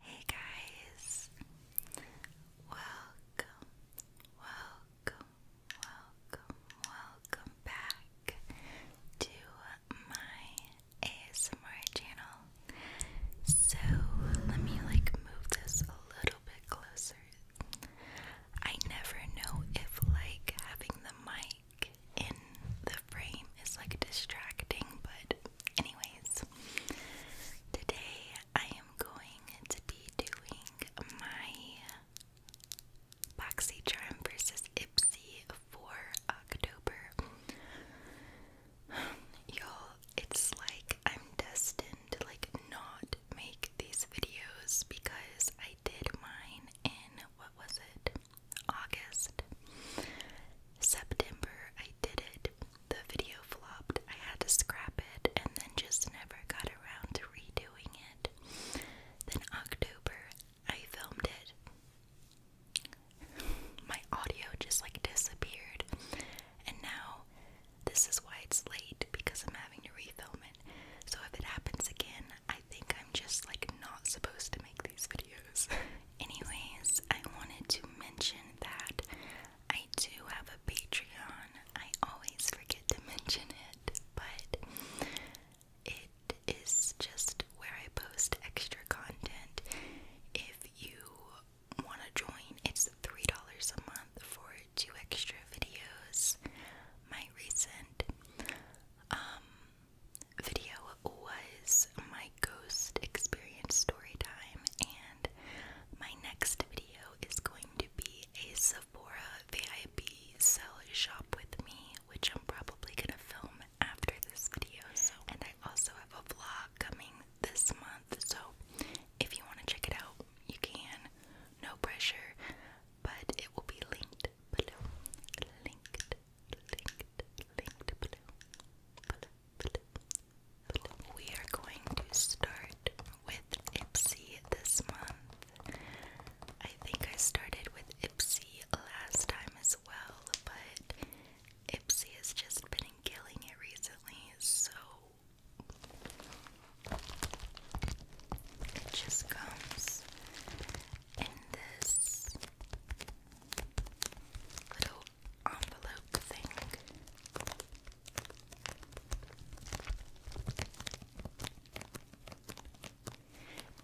Hey guys, welcome, welcome, welcome, welcome back to my ASMR channel. So let me like move this a little bit closer. I never know if like having the mic in the frame is like distracting, but good. Anyways, today I am going to be doing my BoxyCharm versus Ipsy for October. you it's like I'm destined to like not make these videos because I did mine in what was it? August. September did it, the video flopped. I had to scrap it and then just never got around to redoing it. Then October, I filmed it. My audio just like disappeared. And now this is why it's late because I'm having to refilm it. So if it happens again, I think I'm just like not supposed to make these videos. Anyways, I wanted to mention that I do have a Patreon. I always forget to mention it, but it is just where I post extra content. If you want to join, it's $3 a month for two extra videos. My recent um, video was my ghost experience story time, and my next video is going to be a Sephora VIP sell shop with me, which I'm probably gonna film after this video. So, and I also have a vlog coming this month, so if you want to check it out, you can. No pressure, but it will be linked below. Linked, linked, linked Below, we are going to start with Ipsy this month. I think I started with Ipsy last time as well, but Ipsy has just been killing it recently, so it just comes in this little envelope thing.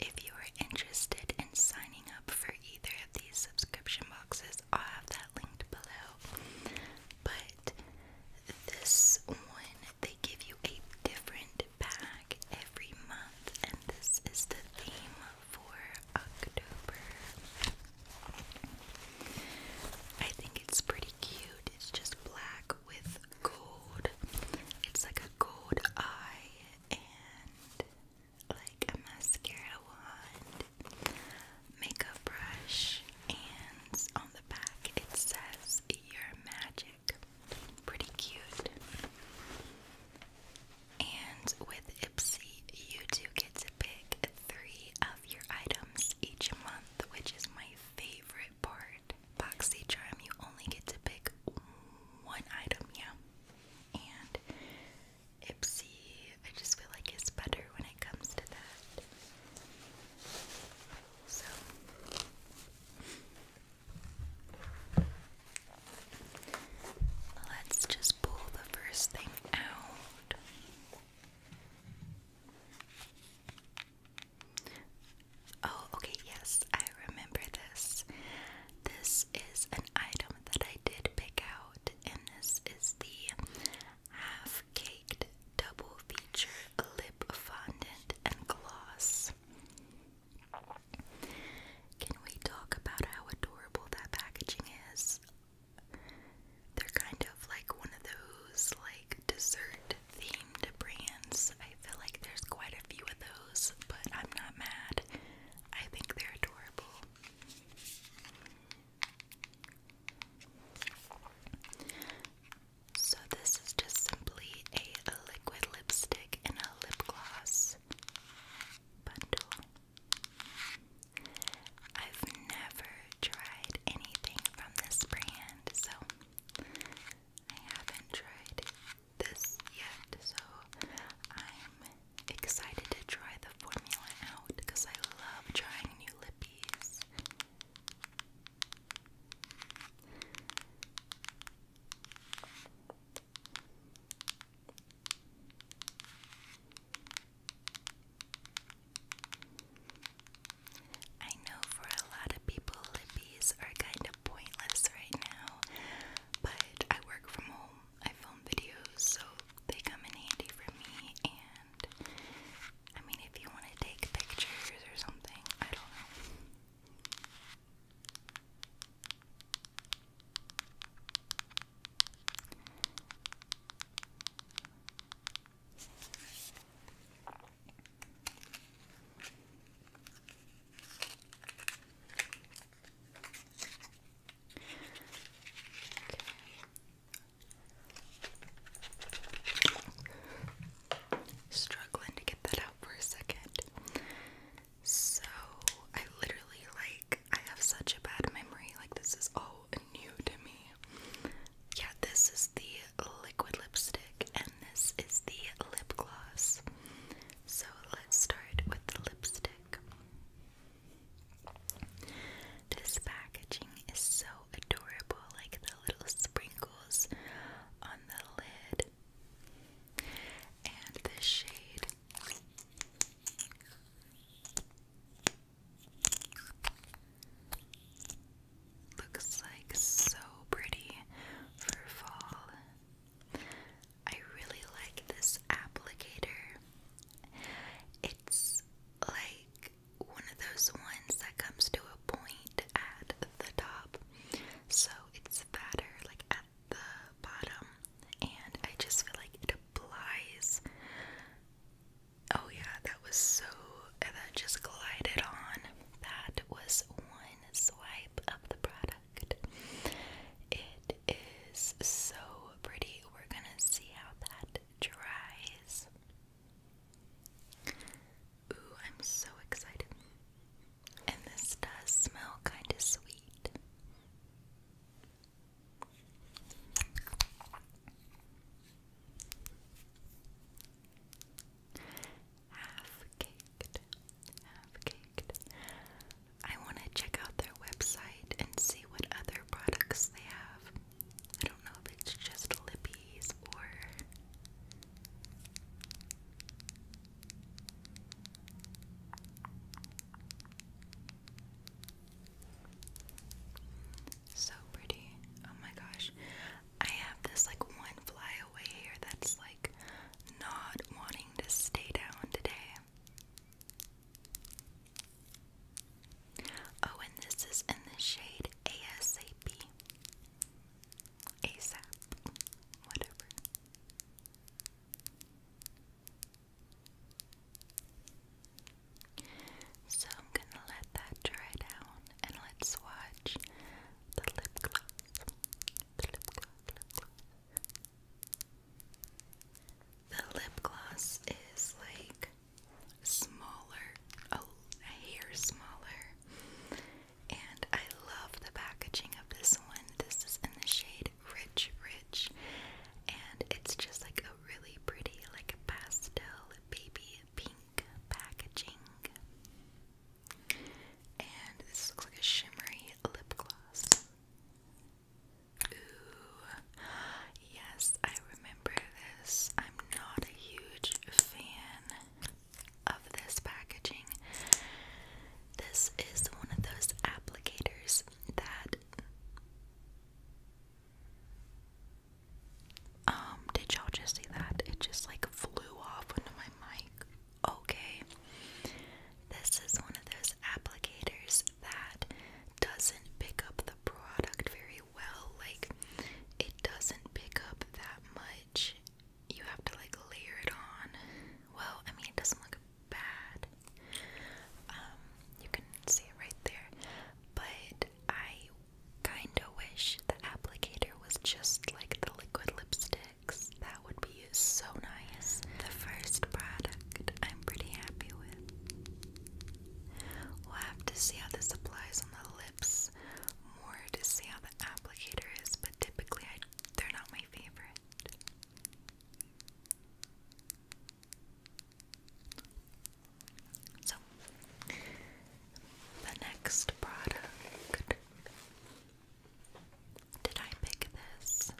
If you are interested in signing up for either of these subscription boxes, I'll have that linked below. But this one, they give you a different pack every month, and this is the theme for October. I think it's pretty cute. It's just black with gold. It's like a gold eye and like a mascara wand, makeup brush, and on the back it says, you magic. Pretty cute. And with Ipsy, you do get to pick three of your items each month, which is my favorite part. Boxy Charm, you only get to pick one item, yeah. And Ipsy, I just feel like it's better when it comes to that. So let's just the first thing out. Oh, okay, yes, I remember this. This is an item that I did pick out, and this is the half caked double feature lip fondant and gloss. Can we talk about how adorable that packaging is? They're kind of like one of those like dessert themed brands. I feel like there's quite a few of those, but I'm not mad. I think they're adorable. So this is just simply a liquid lipstick and a lip gloss bundle. I've never tried anything from this brand, so I haven't tried this yet, so I'm excited to try the formula out because I love trying new lippies. I know for a lot of people, lippies are kind of pointless right now, but I work from home. I film videos, so they come in handy for me. And I mean, if you want to take pictures or something, I don't know. Struggling to get that out for a second. So I literally like I have such a bad memory. Like this is all new to me. Yeah, this is the liquid lipstick and this is the lip gloss. So let's start with the lipstick. This packaging is so adorable, like the little sprinkles on the lid. And the shade Looks like so pretty for fall. I really like this applicator. It's like one of those ones that comes to a point at the top. So it's fatter, like at the bottom, and I just feel like it applies. Oh, yeah, that was so, that just glided on. That was one swipe of the product. It is so pretty. We're gonna see how that dries. Ooh, I'm so excited. And this does smell kind of sweet. Half caked, half caked. I want to check out their website and see what other products they have. I don't know if it's just lippies or. So pretty. Oh my gosh. I have this like one fly here that's like not wanting to stay down today. Oh, and this is in the shade ASAP. ASAP. Whatever. So I'm gonna let that dry down and let's watch the lip gloss. The lip gloss, is like smaller, a hair smaller. And I love the packaging of this one. This is in the shade Rich Rich, and it's just like a really pretty, like a pastel baby pink packaging. And this looks like a shimmery lip gloss. Ooh, yes, I remember this. I'm not a huge fan of this packaging. This is one of those applicators that um, did y'all just see that? It just like flew off onto my mic. Okay. This is one of those applicators that doesn't pick up the product very well. Like, it doesn't pick up that much. You have to like layer it on. Well, I mean, it doesn't look bad. Um, you can see it right there. But I kinda wish the applicator was just like the liquid lipsticks. That would be so nice. The first product I'm pretty happy with. We'll have to see how this applies on the lips, more to see how the applicator is, but typically they're not my favorite. So, the next product. Did I pick this?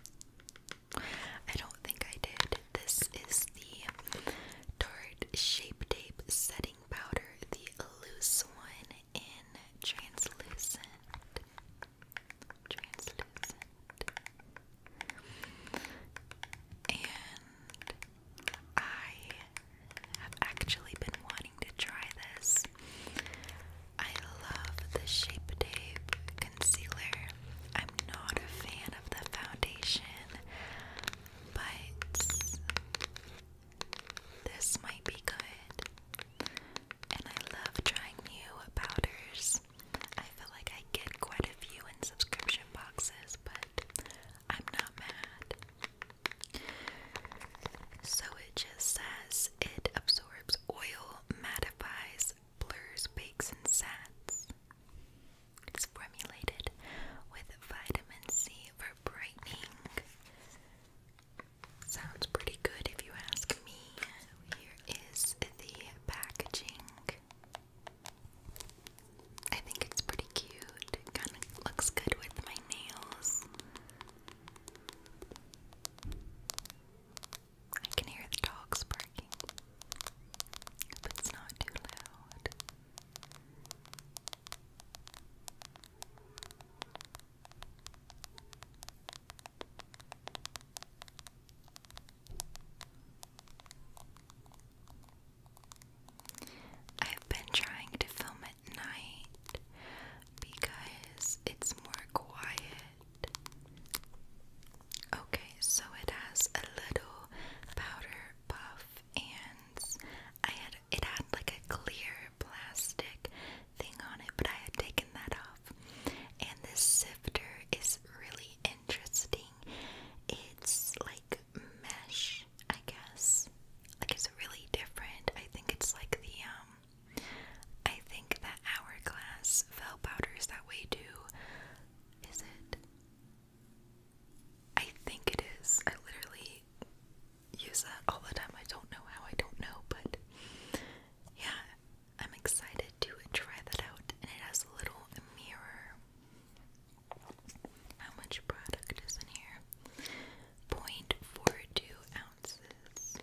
I don't think I did. This is the Tarte Shape Tape Setting Powder, the loose one in Translucent translucent. And I have actually been wanting to try this. I love the Shape Tape concealer. I'm not a fan of the foundation, but this might be good. And I love trying new powders. I feel like I get quite a few in subscription boxes, but I'm not mad. So it just says it absorbs oil, mattifies, blurs, bakes, and sats. It's formulated with vitamin C for brightening. Sounds pretty good if you ask me. Here is the packaging. I think it's pretty cute. kind of looks good with my nails. I can hear the dogs barking. Hope it's not too loud. I've been trying to film at night because it's more quiet. Okay, so it has a little powder puff and I had it had like a clear plastic thing on it, but I had taken that off. And this sifter is really interesting. It's like mesh, I guess. Like it's really different. I think it's like the um I think that hourglass fell powders that we do. Is it? I think it is. I literally use that all the time. I don't know how, I don't know, but yeah, I'm excited to try that out, and it has a little mirror. How much product is in here? 0.42 ounces.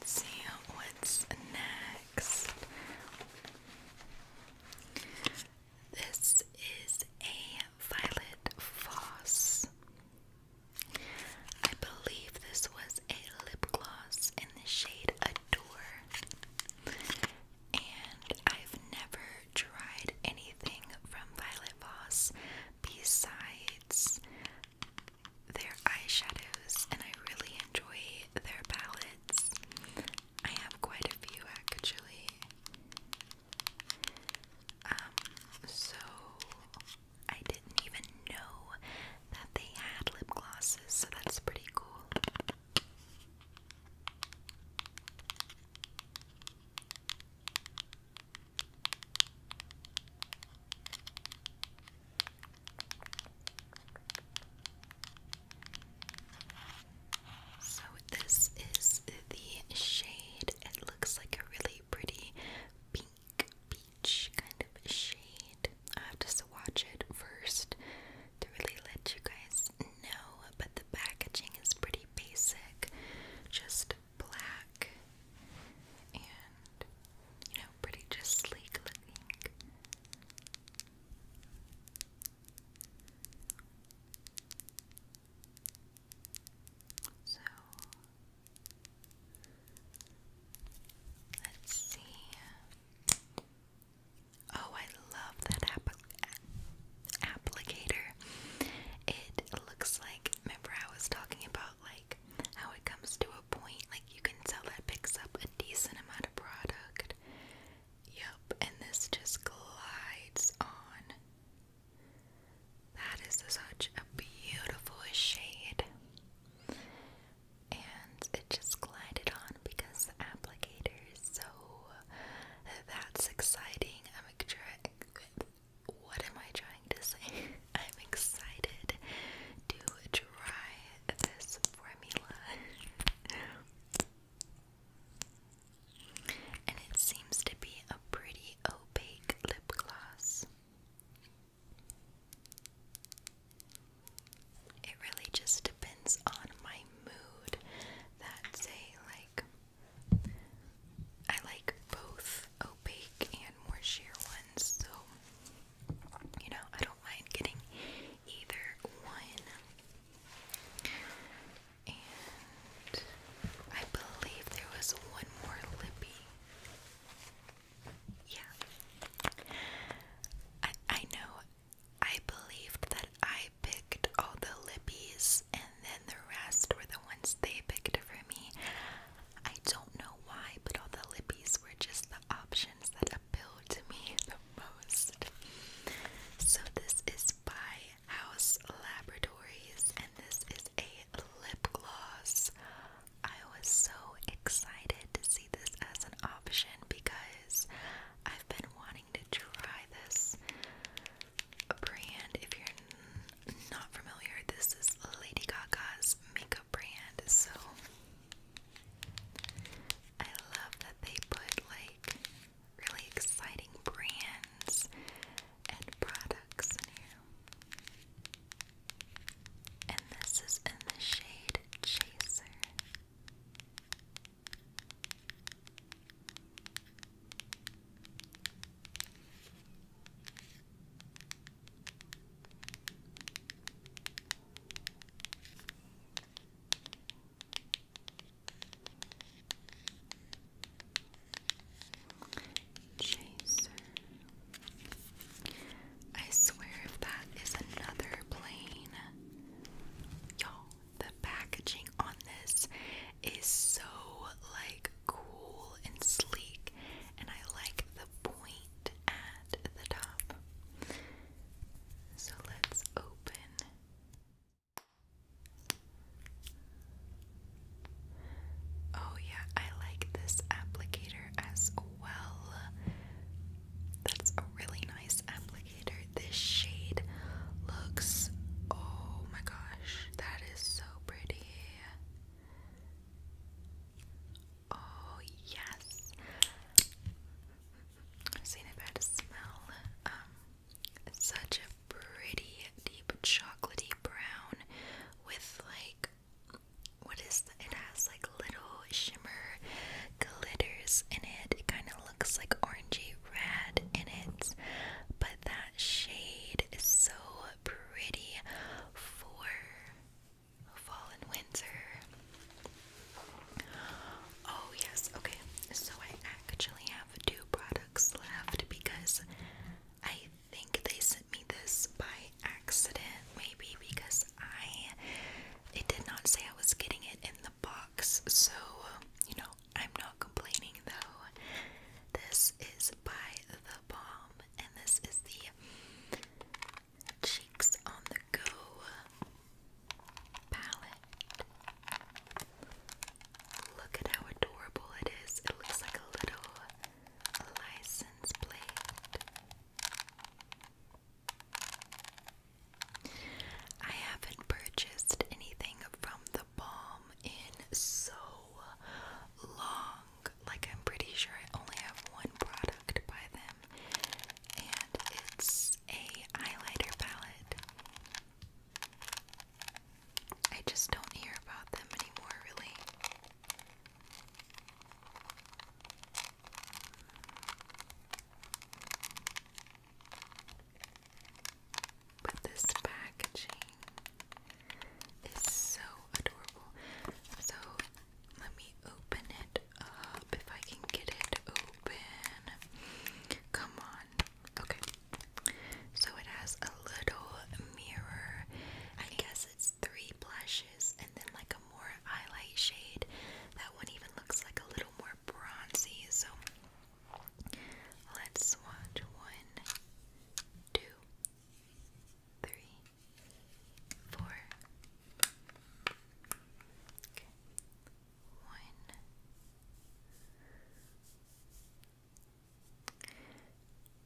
Let's see what's next. This is a violet floss. I believe this was a lip gloss in the shade Adore. And I've never tried anything from Violet Voss besides their eyeshadows, and I really enjoy their palettes. I have quite a few actually. Um, so I didn't even know that they had lip glosses, so that's pretty cool. So, this is the shade. It looks like a really pretty pink peach kind of shade. I have to swatch it first to really let you guys know, but the packaging is pretty basic. Just black and you know, pretty just sleek looking. So let's see. Oh, I love that apple applicator. It looks like, remember I was talking about like how it comes to a point, like you can tell that picks up a decent amount of product. Yep, and this just glides on. That is such a beautiful shade. And it just glided on because the applicator is so that's exciting. I'm what am I trying to say? I'm excited to try this formula. and it seems to be a pretty opaque lip gloss. It really just depends on my mood. That's a like I like both opaque and more sheer ones, so you know, I don't mind getting either one. And I believe there was one more lippy. Yeah. I I know I believed that I picked all the lippies and the rest were the ones they picked for me. I don't know why, but all the lippies were just the options that appealed to me the most. So this is by House Laboratories, and this is a lip gloss. I was so excited to see this as an option because I've been wanting to try this brand, if you're not familiar, this is Lady Gaga's makeup brand. So I love that they put like really exciting brands and products in here. And this is in the shade Chaser. I swear if that is another plane. Y'all, the packaging on this is so like cool and sleek, and I like the point at the top. So let's open. Oh, yeah, I like this applicator as well. That's a really nice applicator. This shade looks, oh my gosh, that is is so pretty. Oh, yes. Seen it by the smell. Um, such a pretty deep chocolatey brown with like what is it has like little shimmer glitters in it. It kind of looks like orangey red in it, but that shade is so pretty for fall and winter. Oh, yes, okay. So, I actually have two products left because I think they sent me this by accident, maybe because I. It did not say I was getting it in the box, so you know, I'm not complaining though. This is by The Balm, and this is the Cheeks on the Go palette. Look at how adorable it is. It looks like a little license plate. I haven't purchased anything from the in so long. Like, I'm pretty sure I only have one product by them, and it's a highlighter palette. I just don't hear about them anymore, really. But this packaging is so adorable. So let me open it up if I can get it open. Come on. Okay. So it has a little mirror. I guess it's three blushes and then like a more highlight shade. That one even looks like a little more bronzy. So Let's watch one, two, three, four. One,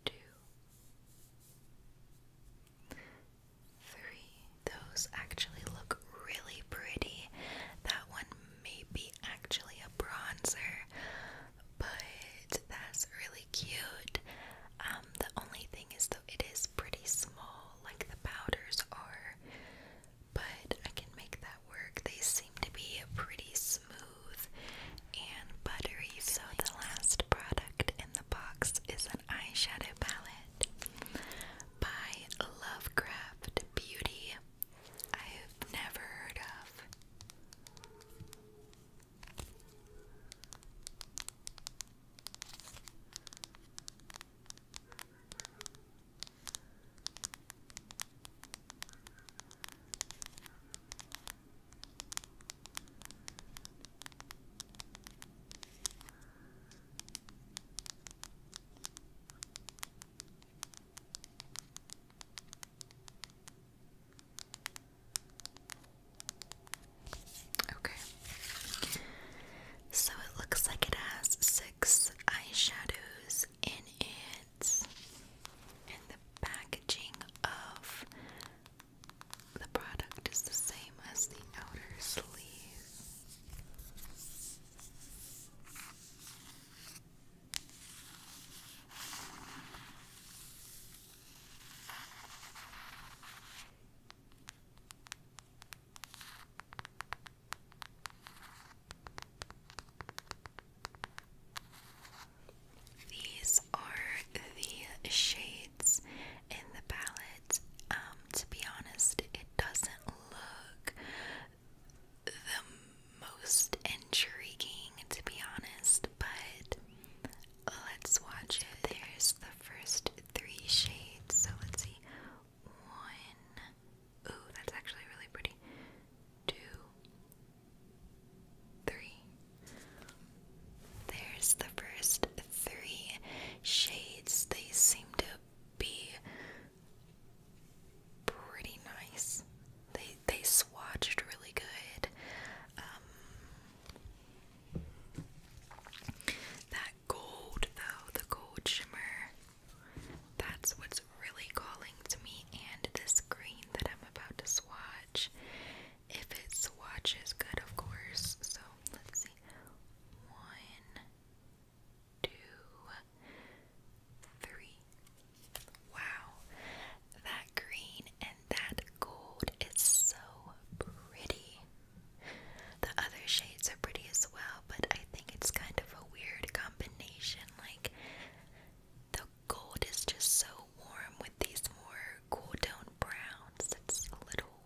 two, three. Those actually look really pretty. That one maybe actually a bronzer, but that's really cute. Um, the only thing is, though, it is pretty small, like the powders are, but I can make that work. They seem to be pretty smooth and buttery. So, the last product in the box is an eyeshadow palette by Lovecraft Beauty. I have never heard of. Okay. So it looks like it has six eyeshadows in it. And the packaging of the product is the same as the outer sleeve. These are the shades in the palette. Um, to be honest, it doesn't look the most intriguing, to be honest, but let's watch it. There's the first three shades, so let's see. One. Ooh, that's actually really pretty. Two. Three. There's the first three shades. They seem to be pretty nice. They they swatched really good. Um, that gold though, the gold shimmer, that's what's really calling to me. And this green that I'm about to swatch, if it swatches good, of course. So let's see, one two, three. Wow, that green and that gold is so pretty. The other shades are pretty as well, but I think it's kind of a weird combination. Like, the gold is just so warm with these more cool tone browns. It's a little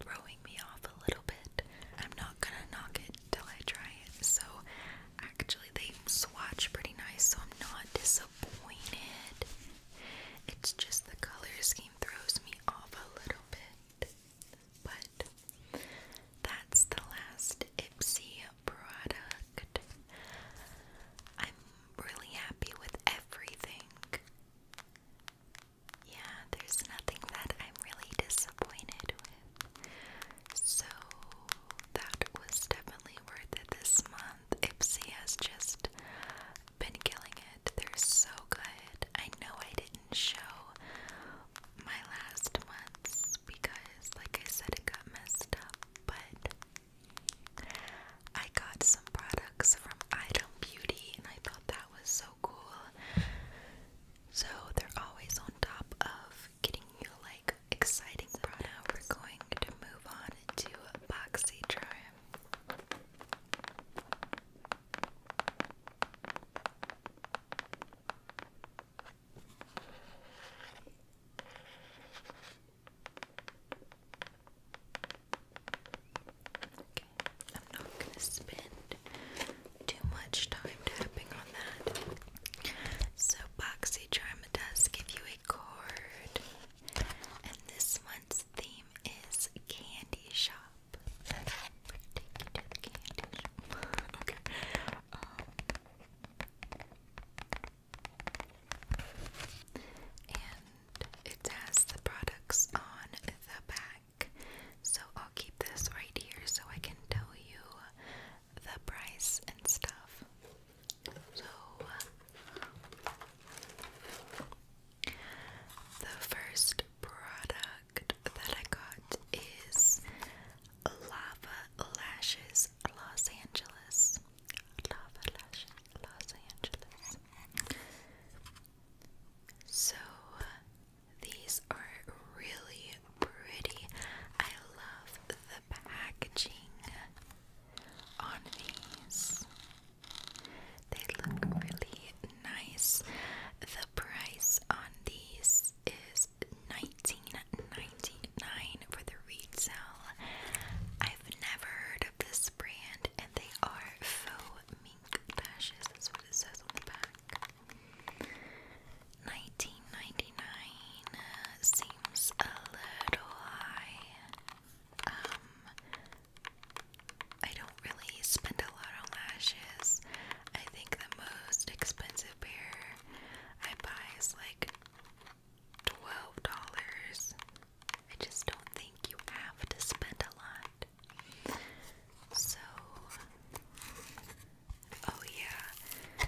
throwing me off a little bit. I'm not gonna knock it till I try it, so Actually, they swatch pretty nice, so I'm not disappointed. It's just the color scheme throws me off a little bit. But that's the last Ipsy product. I'm really happy with everything. Yeah, there's nothing that I'm really disappointed with. So that was definitely worth it this month. Ipsy has just been killing it. They're so good. I know I didn't show my last months because, like I said, it got messed up, but I got some products from Item Beauty and I thought that was so cool. So they're always on top of getting you like exciting Now we're going to move on to BoxyCharm. Okay, I'm not going to spend too much time tapping on that. So boxy charm does give you a cord, and this one's theme is candy shop. Take you to the candy shop. okay. and it has the products on the back. So I'll keep this right here so I can tell you the price and stuff. So, uh, the first product that I got is Lava Lashes Los Angeles. Lava Lashes Los Angeles. So, these are really pretty. I love the packaging on these. They look really nice. The price on these is nineteen ninety nine for the retail. I've never heard of this brand, and they are faux mink lashes. what it says on the back. 1999 uh, seems a little high. Um, I don't really spend a lot on lashes. I think the most expensive pair I buy is like twelve dollars. I just don't think you have to spend a lot. So Oh, yeah,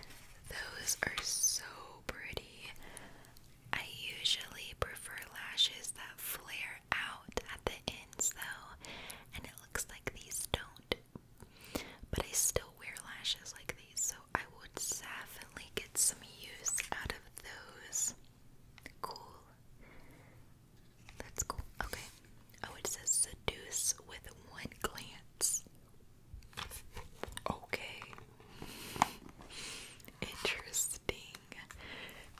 those are so pretty. I usually prefer lashes that flare out at the ends, though, and it looks like these don't. But I still wear lashes like these, so I would definitely get some use out of those. Cool. That's cool. Okay. Oh, it says seduce with one glance. Okay. Interesting.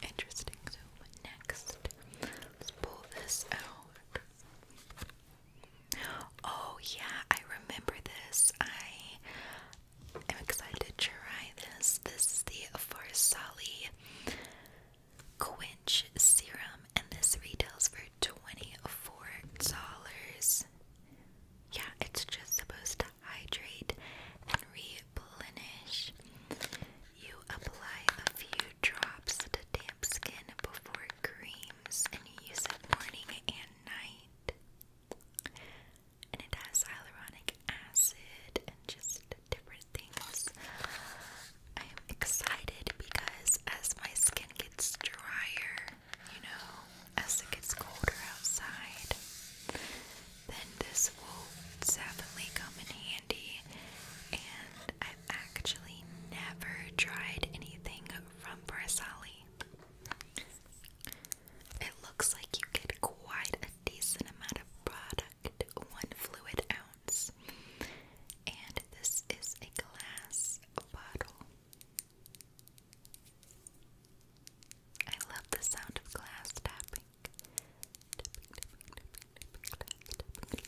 Interesting. So next, let's pull this out. Oh yeah, I remember this. I am excited to try this. This is the Farsali Quench Serum, and this retails for $24. Yeah, it's just supposed to hydrate and replenish. You apply a few drops to damp skin before creams and you use it morning and night. And it has hyaluronic acid and just different things. I'm excited because as my skin gets drier, you know, as it gets colder outside, then this will definitely come in handy. And I've actually never tried anything from Barzali. It looks like you get quite a decent amount of product, one fluid ounce. And this is a glass bottle. I love the sound of glass tapping. glass tapping.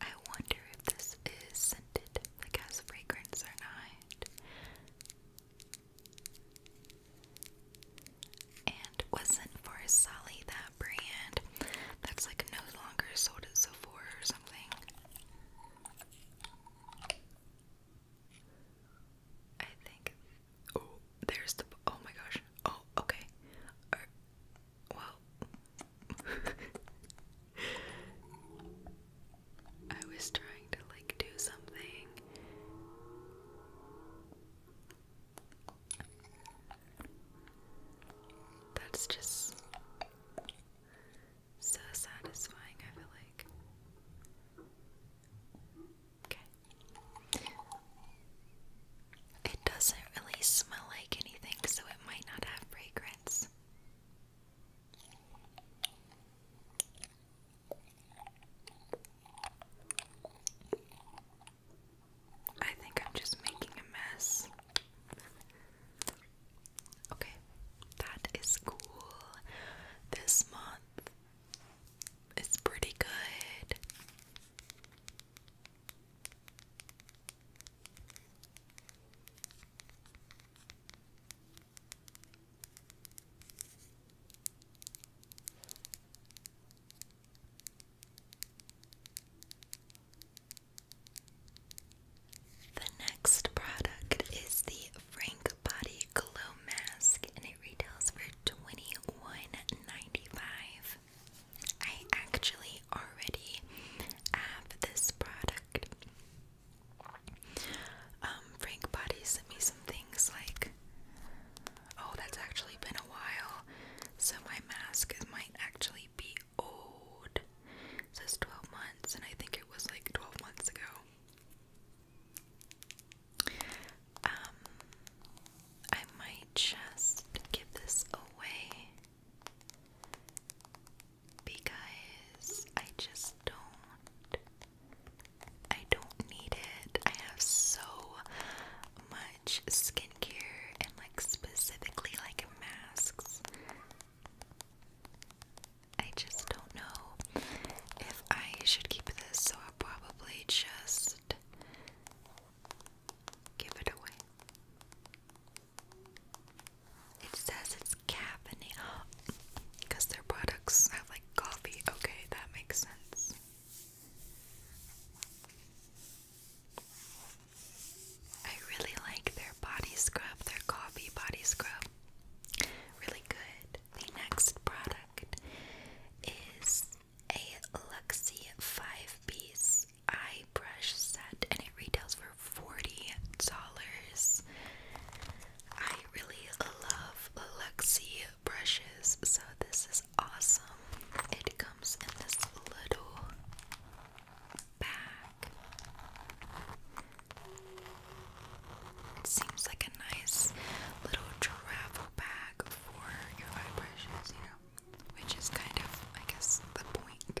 I wonder if this is scented, like has fragrance or not. And wasn't for Sally that brand that's like no longer sold at Sephora or something. I think. Oh, there's the. Oh my gosh. Oh, okay. Er, well, I was trying to like do something. That's just so satisfying, I like. Okay. It doesn't really smell like anything, so it might not have fragrance. I think I'm just making a mess. Okay, that is cool. This month is pretty good. The next product is the Frank Body Glow Mask and it retails for twenty one ninety five. I actually already have this product. Um, Frank Body sent me some things like Oh, that's actually been a while. So my mask might actually be old. says 12 months, and I think it was like 12 months ago. Um, I might just give this away because I just don't I don't need it. I have so much skincare and like specifically like masks. I just don't know if I should keep this, so I'll probably just give it away. It says it's caffeinated because their products have like coffee. Okay, that makes sense. I really like their body scrub, their coffee body scrub. Really good. The next product is a Luxie 5 piece eye brush set and it retails for $40. I really love Luxie brushes, so this is awesome. It comes in this little bag. It seems like a nice little travel bag for your eye brushes, you know, which is kind of, I guess, the point.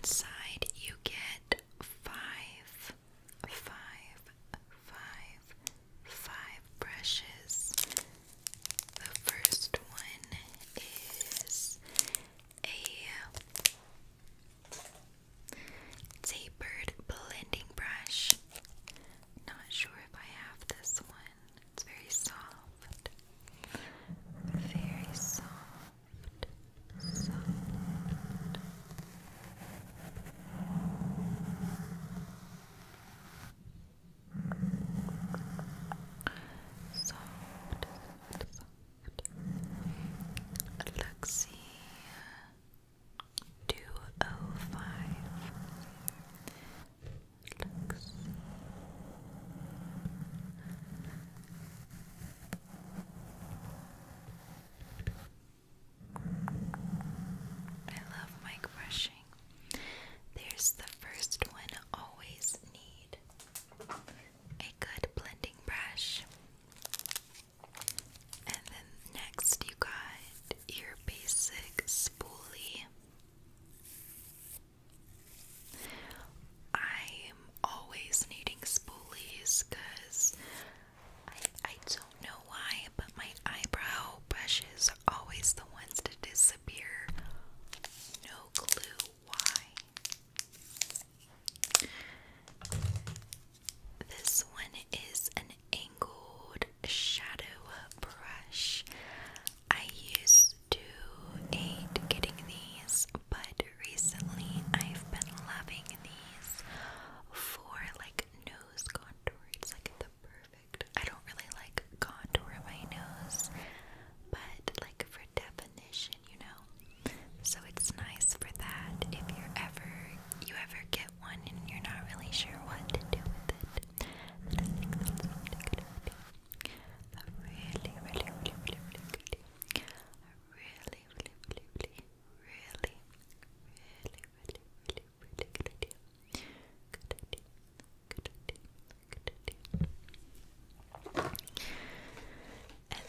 Inside, you get five, five, five, five brushes. The first one is a tapered blending brush. Not sure if I have this one. It's very soft. Very soft. Soft. Soft, soft, 205 I love mic brushing. There's the first one always need a good blending brush. And then next you got your basic spoolie I'm always needing spoolies because I, don't know why, but my eyebrow brush is always the ones to disappear. No clue why. This one is an angled shadow brush. I used to hate getting these, but recently I've been loving these for like nose contour. It's like the perfect. I don't really like contour my nose, but like for definition, you know. So it's nice for that if you're ever you ever get one and you're not really sure what to do with it. And I think that's a really good idea. A really, really, really, really, really good idea. A really, really, really, really, really, really, really, really, really good idea. Good idea. Good idea. Good idea.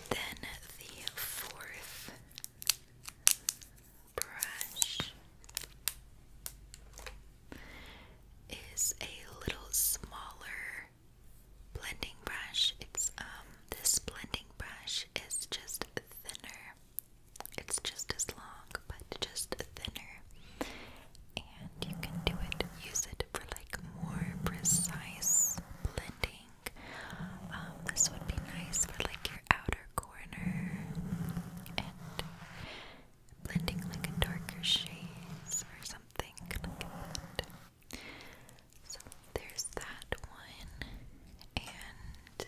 And then the fourth brush is a little smaller blending brush. It's um this blending brush is just thinner. It's just as long, but just thinner. And you can do it use it for like more precise blending. Um, this would be nice for like your outer corner and blending like a darker shades or something So there's that one, and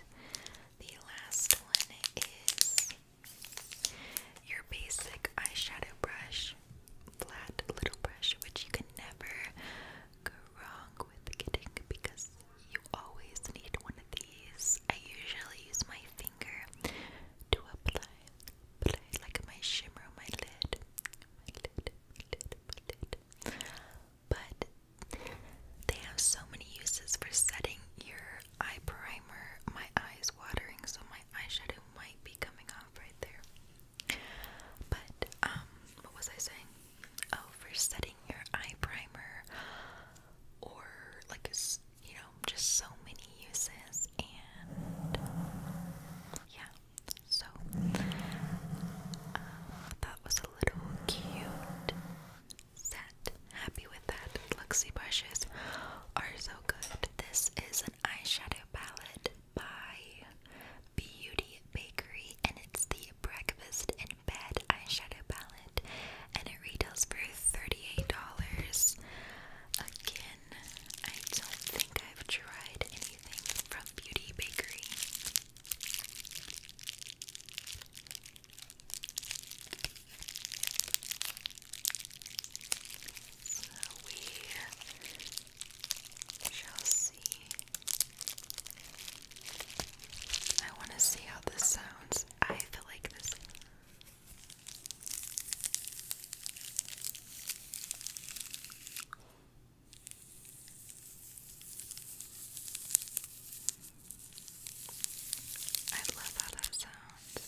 the last one is your basic eyeshadow brush, flat little brush, which you can never go wrong with getting because you always need one of I usually use my finger to apply, apply like my shimmer on my lid, But they have so many uses for setting your eye primer. My eye's watering, so my eyeshadow might be coming off right there. But um, what was I saying? Oh, for setting your eye primer or like a you know, just so many uses and yeah, so uh, that was a little cute set. Happy with that. Luxie brushes are so good. This is an eyeshadow palette by Beauty Bakery and it's the Breakfast in Bed eyeshadow palette and it retails for $38. Again, I don't think I've tried anything from Beauty Bakery. So we shall see. I want to see how this sounds. I feel like this I love how that sounds.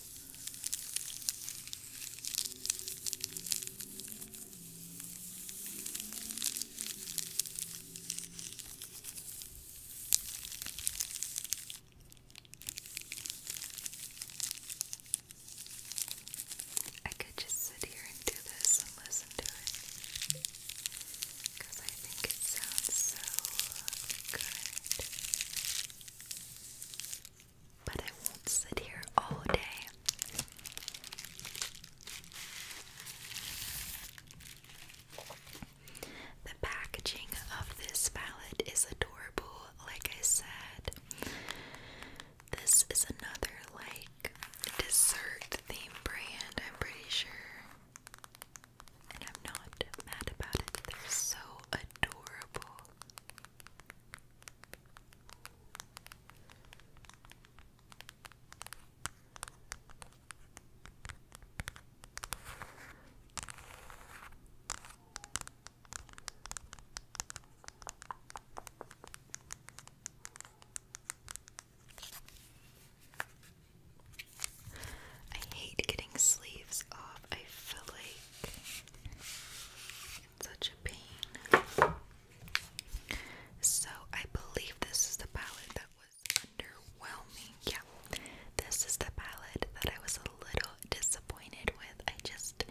I could just sit here and do this and listen to it because I think it sounds so good. But I won't sit here all day. The packaging of this palette is adorable, like I said. This is another like dessert theme brand, I'm pretty sure. And I'm not mad about it. They're so adorable. I hate getting sleeves off. I feel like it's such a pain. So I believe this is the palette that was underwhelming. Yeah, this is the palette that I was a little disappointed with. I just,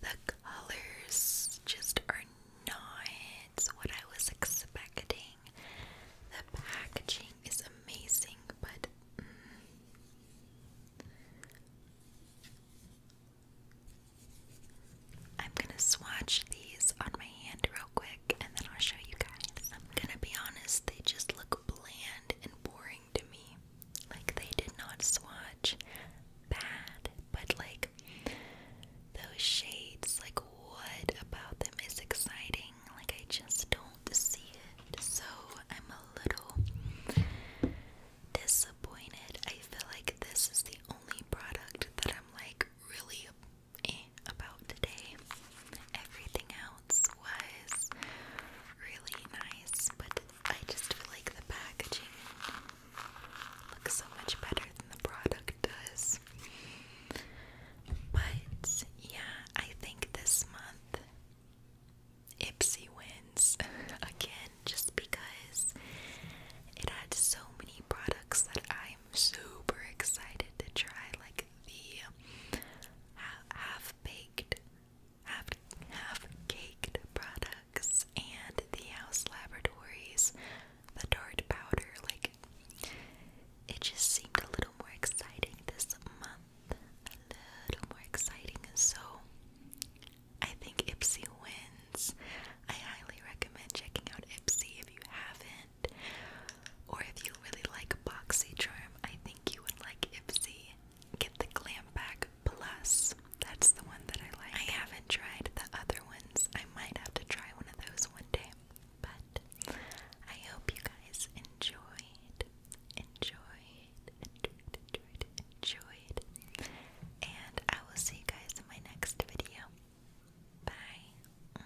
the colors just are not what I was expecting. The packaging is amazing, but. Mm, I'm gonna swatch these on my hand real quick and then I'll show you guys. I'm gonna be honest, they just look bland and boring to me. Like they did not swatch bad, but like those shades, like what about them is exciting? Like I just don't see it. So I'm a little disappointed. I feel like this is the only product that I'm like really eh, about today. Everything else was really nice, but I just feel like the packaging looks so much better than the product does. But yeah, I think this month Ipsy wins again just because it had so many products that I'm super excited to try. Like the half baked, half, half caked products, and the House Laboratories, the Dart Powder. Like, it just seemed a little more exciting this month. A little more exciting. So, I think Ipsy wins. I highly recommend checking out Ipsy if you haven't. Or if you really like BoxyCharm, I think you would like Ipsy. Get the Glam Pack Plus. That's the one that I like. I haven't tried the other ones. I might have to try one of those one day. But I hope you guys enjoyed, enjoyed, enjoyed, enjoyed, enjoyed. And I will see you guys in my next video. Bye.